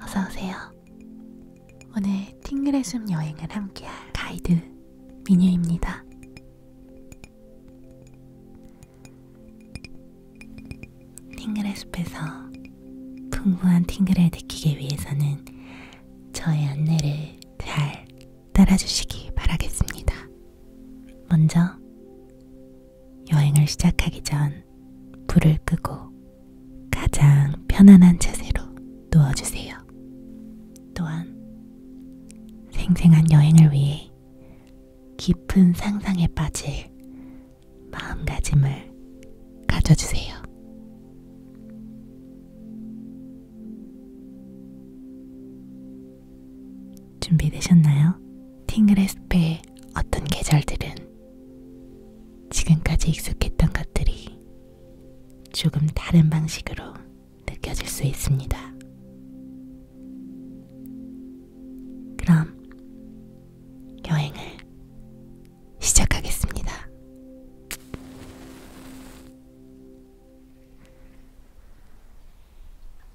어서오세요. 오늘 팅그레숨 여행을 함께할 가이드 미뉴입니다. 팅글의 숲에서 풍부한 팅글을 느끼기 위해서는 저의 안내를 잘 따라주시기 바라겠습니다. 먼저 여행을 시작하기 전 불을 끄고 가장 편안한 자세로 누워주세요. 또한 생생한 여행을 위해 보니 깊은 상상에 빠질 마음가짐을 가져주세요. 준비되셨나요? 팅글의 숲의 어떤 계절들은 지금까지 익숙했던 것들이 조금 다른 방식으로 느껴질 수 있습니다. 그럼 여행을 시작하겠습니다.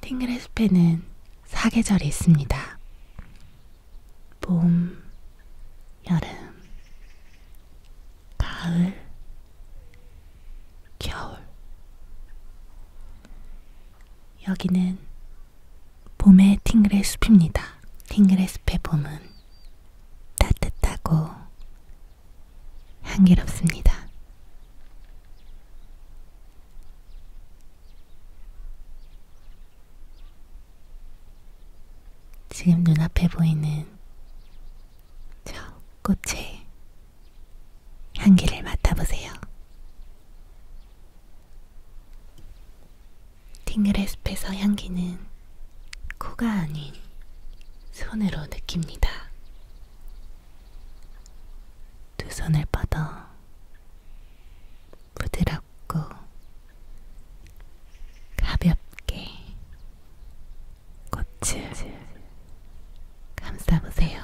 팅그레 숲에는 사계절이 있습니다. 봄, 여름, 가을, 겨울, 여기는 봄의 팅그레 숲입니다. 팅그레 숲의 봄은 따뜻하고 향기롭습니다. 지금 눈앞에 보이는 저 꽃의 향기를 맡아보세요. 팅그레스페서 향기는 코가 아닌 손으로 느낍니다. 두 손을 뻗어 부드럽고 가볍게 꽃을 감싸보세요.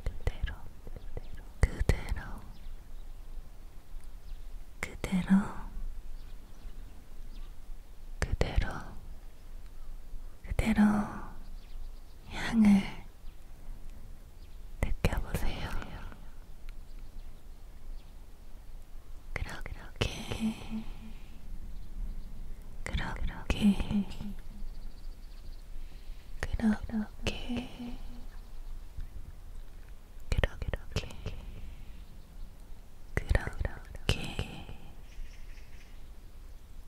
그대로 그대로 그대로 그대로 그대로 향을 느껴보세요. 그렇게 그렇게 그렇게 그렇게 그렇게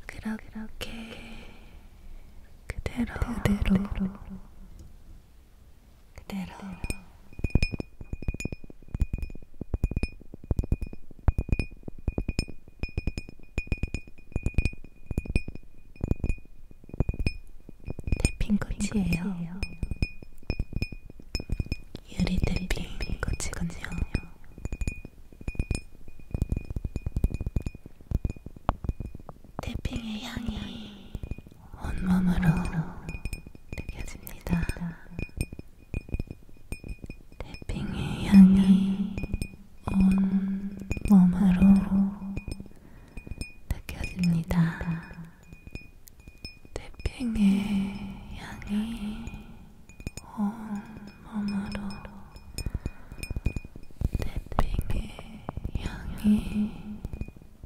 그렇게 그렇게 그대로 그대로 그대로 태핑꽃이에요. 유리 태핑꽃이군요. 태핑의 향이 온몸으로 느껴집니다. 태핑의 향이 온 몸으로 느껴집니다. 태핑의 향이 온 몸으로 태핑의 향이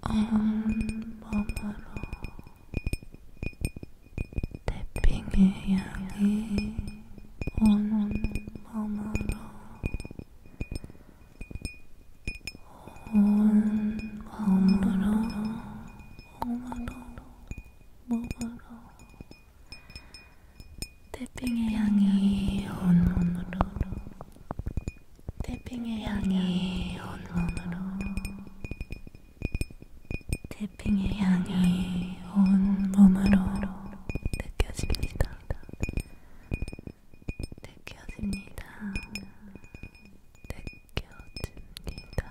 온 몸으로 태핑의 향이 오는 밤으로 온 밤으로 몸으로 몸으로 태핑의 향이 온 몸으로 태핑의 향이 온 몸으로 태핑의 향이 온 몸으로 느껴집니다. 느껴집니다. 느껴집니다.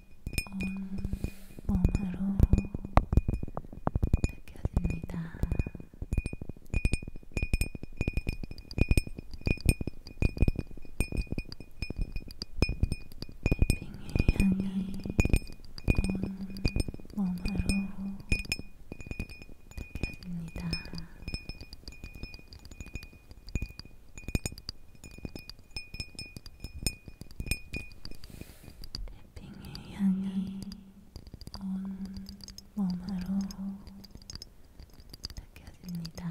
온 몸으로 느껴집니다. 핑의 향이 온 몸으로 느껴집니다. 빙의 향이 온 몸으로 느껴집니다.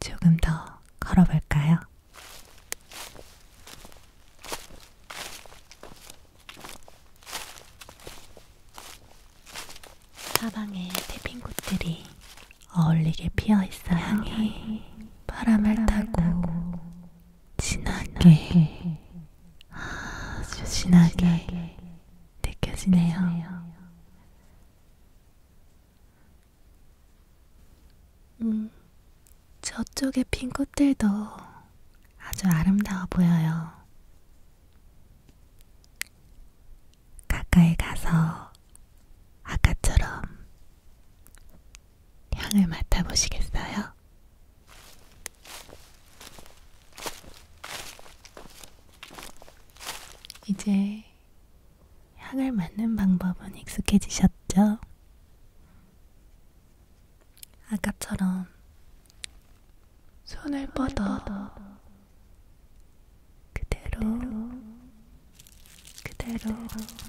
조금 더 걸어볼까요? 사방에 태핑꽃들이 어울리게 피어 있어요. 향이 바람을, 바람을 타고 진하게 아주 진하게 느껴지네요. 음, 저쪽의 핀 꽃들도 아주 아름다워 보여요. 가까이 가서 아까처럼 향을 맡아보시겠어요? 이제 향을 맡는 방법은 익숙해지셨죠? 아까처럼 손을 뻗어 그대로 그대로, 그대로.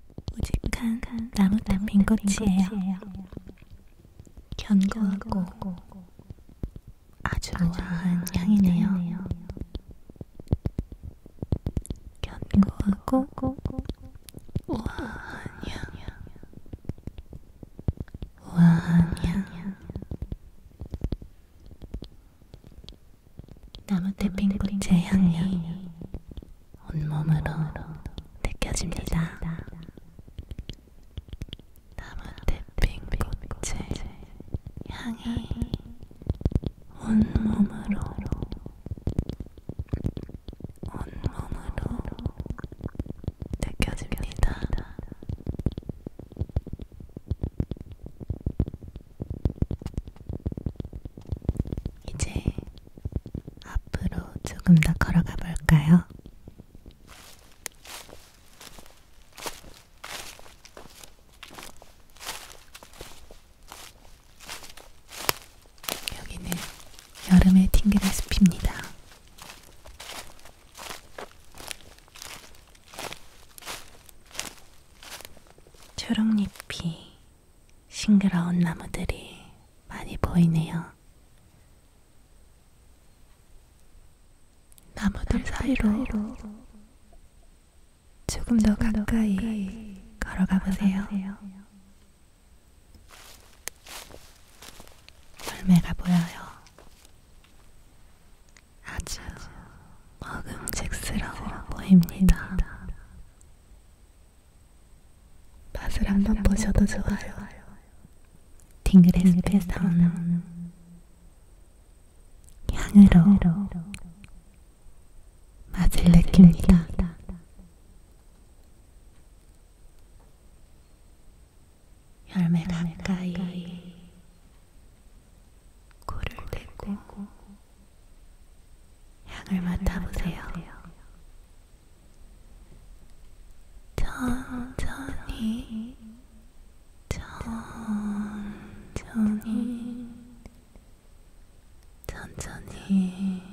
우직한 나무땅 빈꽃이에요. 견고하고 아주 우아한 향이네요. 견고하고 우아한 향. 우아한 향. 나무대 빈꽃의 향이 온몸으로 느껴집니다. 나뭇잎 꽃의 향이 온몸으로 온몸으로 느껴집니다. 이제 앞으로 조금 더 걸어가 볼까요? 여기는 여름의 팅그라스피입니다. 초록잎이 싱그러운 나무들이 많이 보이네요. 나무들 사이로 조금 더 가까이 걸어가 보세요. 열매가 보여요. 아주 먹음직스러워 보입니다. 맛을 한번 보셔도 좋아요. 딩글에서 나오는 향으로 맛을 느낍니다. 열매 가까이 코를 대고 향을 맡아보세요. 천천히 천천히 천천히 천천히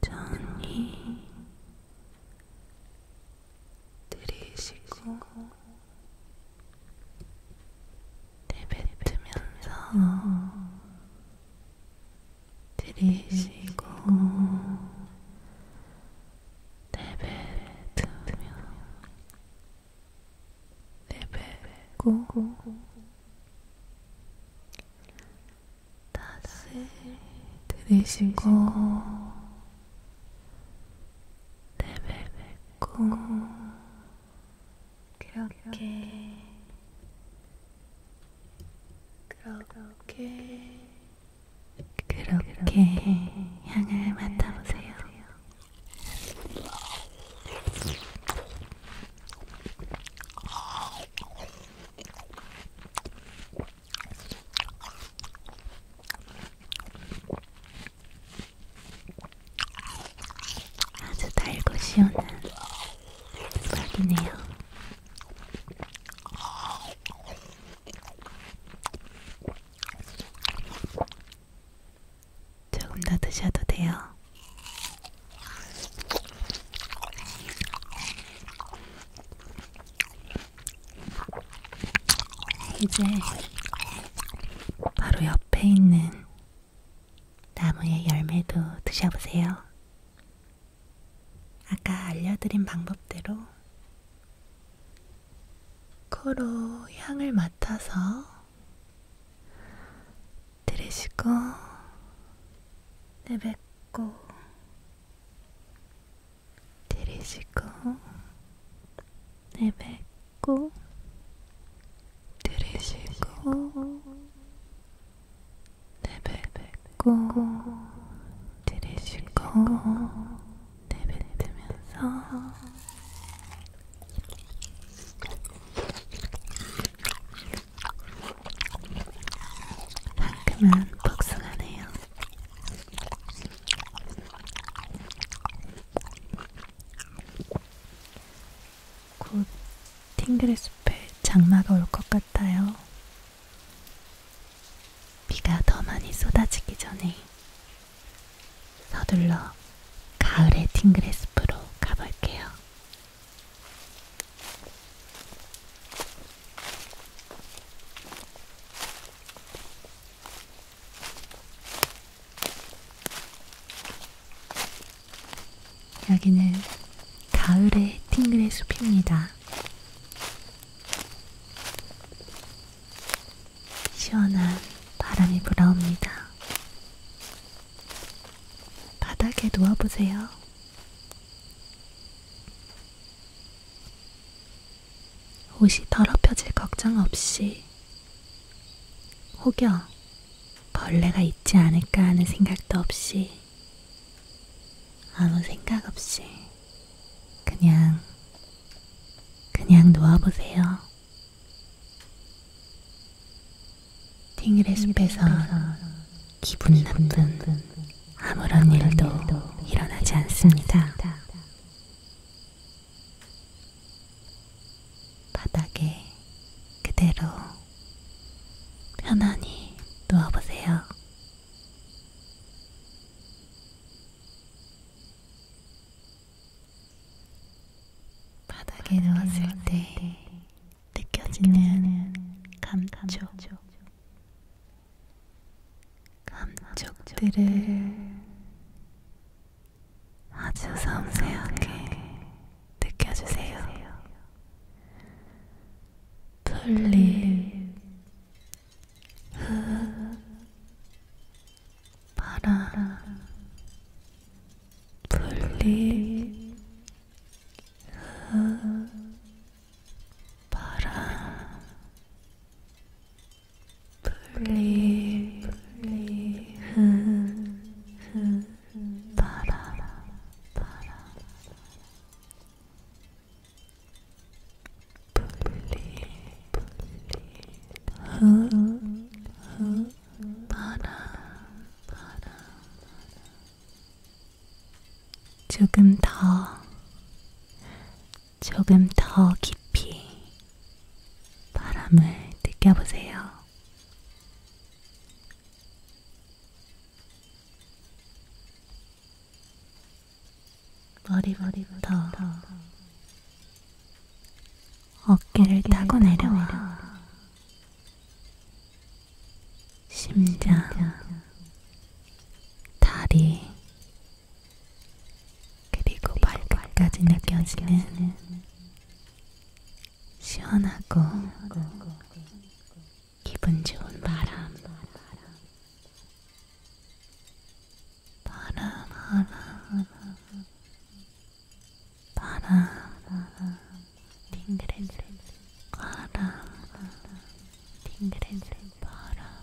천천히 들이쉬고 내뱉으면서 들이쉬고 내뱉으며 내뱉고 다시 들이쉬고 내뱉고 그렇게 그렇게 그렇게 그렇게, 그렇게 향을 맡아보세요. 아주 달고 시원한 음악이네요. 조금 더 드셔도 돼요. 이제 바로 옆에 있는 나무의 열매도 드셔보세요. 아까 알려드린 방법대로 코로 향을 맡아서 들이쉬고 내뱉고 들이쉬고 내뱉고 들이쉬고 내뱉고 들이쉬고 내뱉으면서 상큼한 복숭아네요. 곧 팅그레 숲에 장마가 올 것 같아요. 비가 더 많이 쏟아지기 전에 서둘러 가을의 팅그레 숲으로 가볼게요. 여기는 가을의 팅글의 숲입니다. 시원한 바람이 불어옵니다. 바닥에 누워보세요. 옷이 더럽혀질 걱정 없이 혹여 벌레가 있지 않을까 하는 생각도 없이 아무 생각 없이 그냥 그냥 놓아보세요. 팅일의 숲에서 기분 나쁜 아무런 일도 일어나지 않습니다. 바닥에 그대로 편안히 누워보세요. 바닥에 누웠을 때 느껴지는 감촉, 감촉들을 아주 섬세하게 느껴주세요. 풀립, 흙, 바람, 풀립, 흙, 바람, 풀리 풀리 흐흐 바라 바라 풀리 풀리 흐흐 바라 바라 조금 더 조금 더 깊이 바람을 느껴보세요. 머리부터 어깨를, 어깨를 타고 내려와, 내려와. 심장, 심장, 다리, 그리고 발끝까지 느껴지는 시원하고 기분 좋은 바람 바람 바람 바람 딩그레 바람 딩그레 바람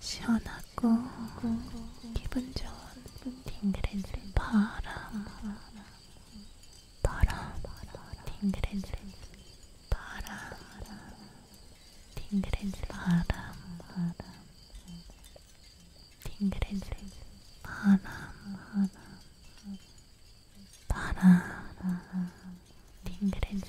시원하고 기분 좋은 팅그레진 바람 바람 팅그레진 바람 팅그레진 바람 팅그레진 바람 바람 팅그레진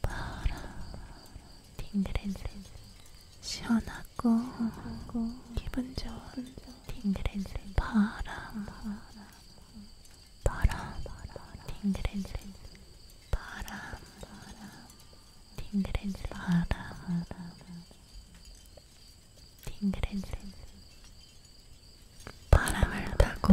바람 팅그랜드 시원하고 기분 좋은 팅그랜드 바람 바람 팅그랜드 바람 팅그랜드 바람 팅그랜드 바람을 타고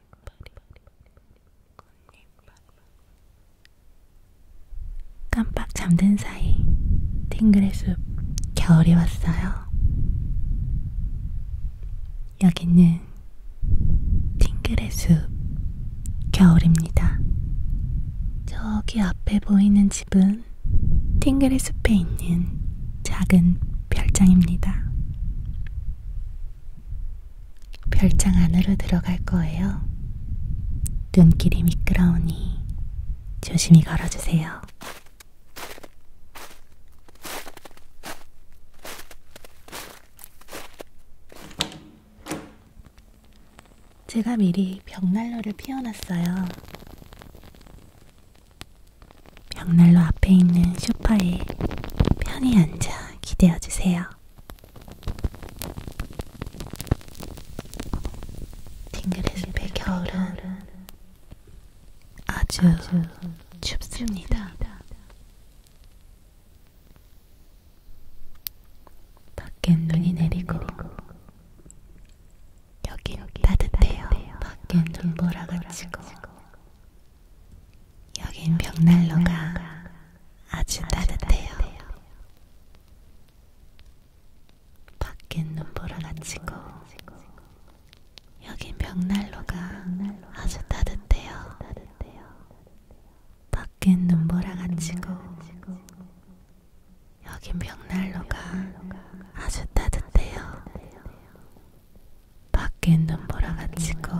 깜빡 잠든 사이 팅글의 숲 겨울이 왔어요. 여기는 팅글의 숲 겨울입니다. 저기 앞에 보이는 집은 팅글의 숲에 있는 작은 별장입니다. 별장 안으로 들어갈 거예요. 눈길이 미끄러우니 조심히 걸어주세요. 제가 미리 벽난로를 피워놨어요. 벽난로 앞에 있는 소파에 편히 앉아 기대어 주세요. 팅글리스의 겨울은 아주 춥습니다. 밖엔 눈이 내리고 여긴 따뜻해요. 밖엔 눈보라가 치고 여긴 벽난로가 아주 따뜻해요. 밖엔 눈보라 나치고 여긴 벽난로가 아주 따뜻해요. 밖엔 눈보라 가치고 여긴 벽난로가 아주 따뜻해요. 밖엔 눈보라 가치고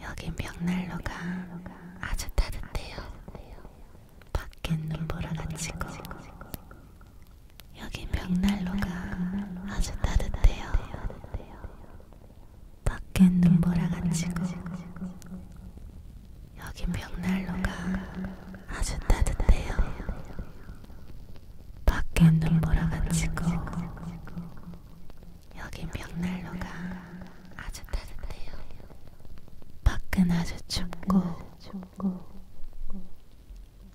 여긴 벽난로가 아주 따뜻해요. 밖엔 눈보라가 치고 여긴 벽난로가 아주 따뜻해요. 밖엔 눈보라가 치고 여긴 벽난로가 아주 따뜻해요. 밖엔 눈보라가 치고 여기 벽난로가 아주 따뜻해요. 밖은 아주 춥고,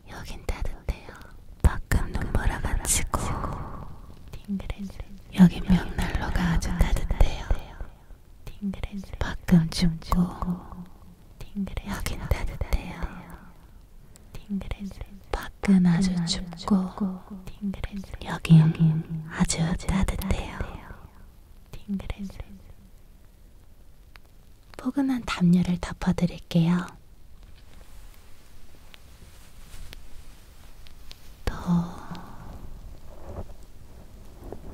여긴 따뜻해요. 밖은 눈보라 가치고, 여긴 벽난로가 아주 따뜻해요. 밖은 춥고, 여긴 따뜻해요. 밖은 아주 춥고 여긴 아주 따뜻해요. 포근한 담요를 덮어드릴게요. 더,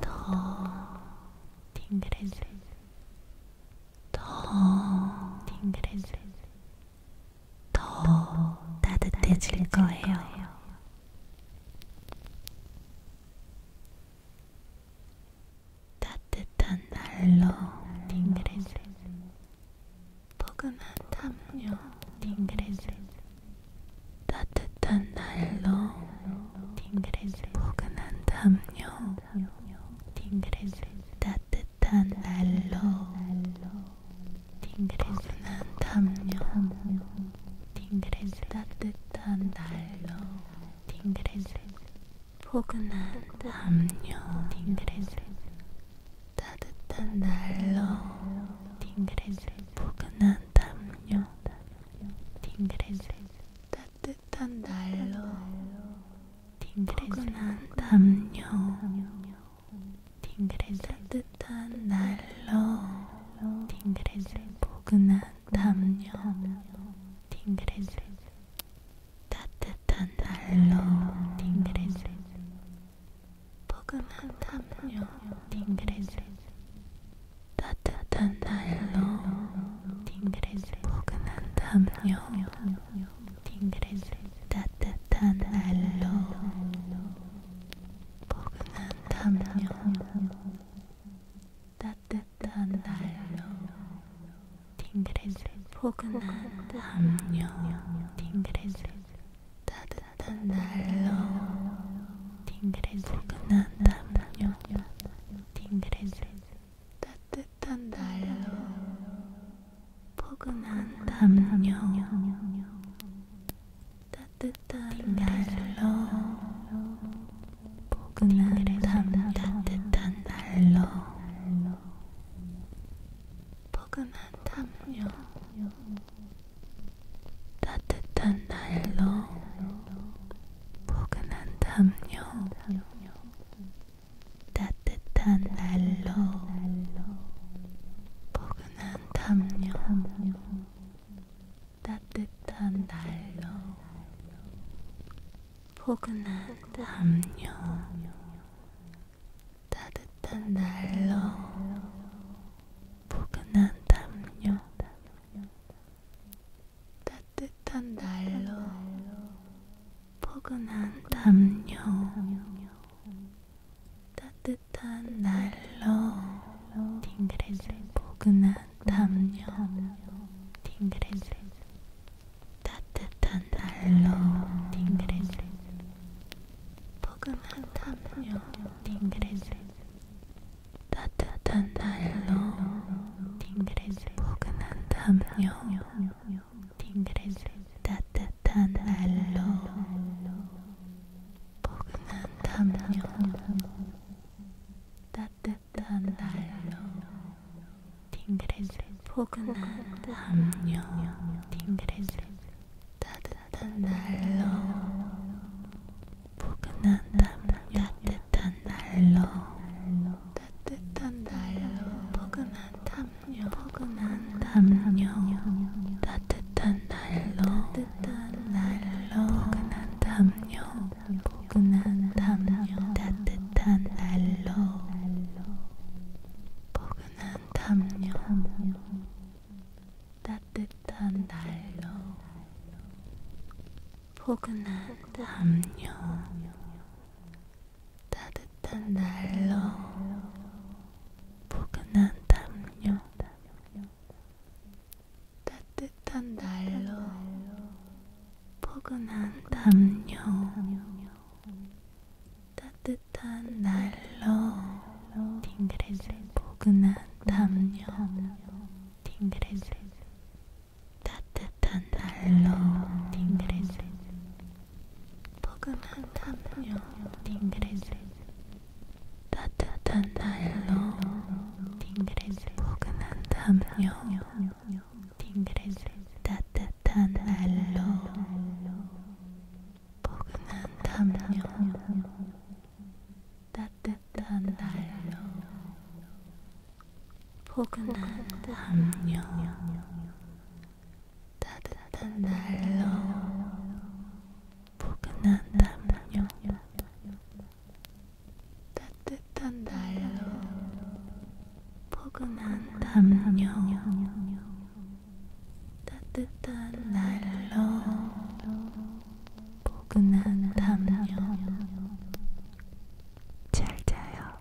더, 더, 더, 더 따뜻해질 거예요. 따뜻한 날로 딩그레즈 포근한 담요 딩그레즈 따뜻한 날로 딩그레즈 포근한 담요 딩그레즈 따뜻한 날로 딩그레스한 담요 딩그레스 따뜻한 난로 딩그레스 포근한 담요 딩그레스 따뜻한 난로 딩그레스 포근한 담요 딩그레스 따뜻한 난로 딩그레스 포근한 담요 딩그레 따뜻한 날로 딩그레 포근한 담요 딩그레 따뜻한 날로 딩그레 포근한 담요 딩그레 따뜻한 날로 딩그레 포근한 담요 딩그레 따뜻한 날로 포근한 담요 따뜻한 달로 딩그레즈 포근한 담요 딩그레즈 따뜻한 달로 딩그레즈 포근한 담요 딩그레즈 따뜻한 달로 포근한 담요, 따뜻한 날로, 포근한 담, 따뜻한 날로, 포근한 담요, 따뜻한 날로, 포근한 담요. 따뜻한 날로 포근한 담요, 따뜻한 난로, 포근한 담요, 따뜻한 난로, 포근한 담요, 따뜻한 난로, 포근한 담요. 따뜻한 날로 딩그레질 포근한 담요 딩그레질 따뜻한 날로 딩그레질 포근한 담요 딩그레질 따뜻한 날로 딩그레질 포근한 담요 딩그레질 따뜻한 날로 포근한 담요 따뜻한 날로 팅그레질 포근한 담요 팅그레질 따뜻한 날로 포근한 담요 따뜻한 날로 따뜻한 날로 포근한 담요 포근한 담요 따뜻한 따뜻한 날로 따뜻한 날로 포근한 담요 포근한 담요 따뜻한 날로 포근한 담요 따뜻한 날로 포근한 담요 따뜻한 날로 포근한 담요 명령 따뜻한 날로 포근한 담요 따뜻한 날로 팅그레질 포근한 담요 팅그레질 따뜻한 날로 팅그레질 포근한 담요 팅그레질 따뜻한 날로 딩그레스 포근한 담요 딩그레스 따뜻한 날로 포근한 담요 따뜻한 날로 포근한 담요 따뜻한 날로 포근한 담요 따뜻한 날로 포근한 담요 따뜻한 날로 포근한 담요 잘 자요.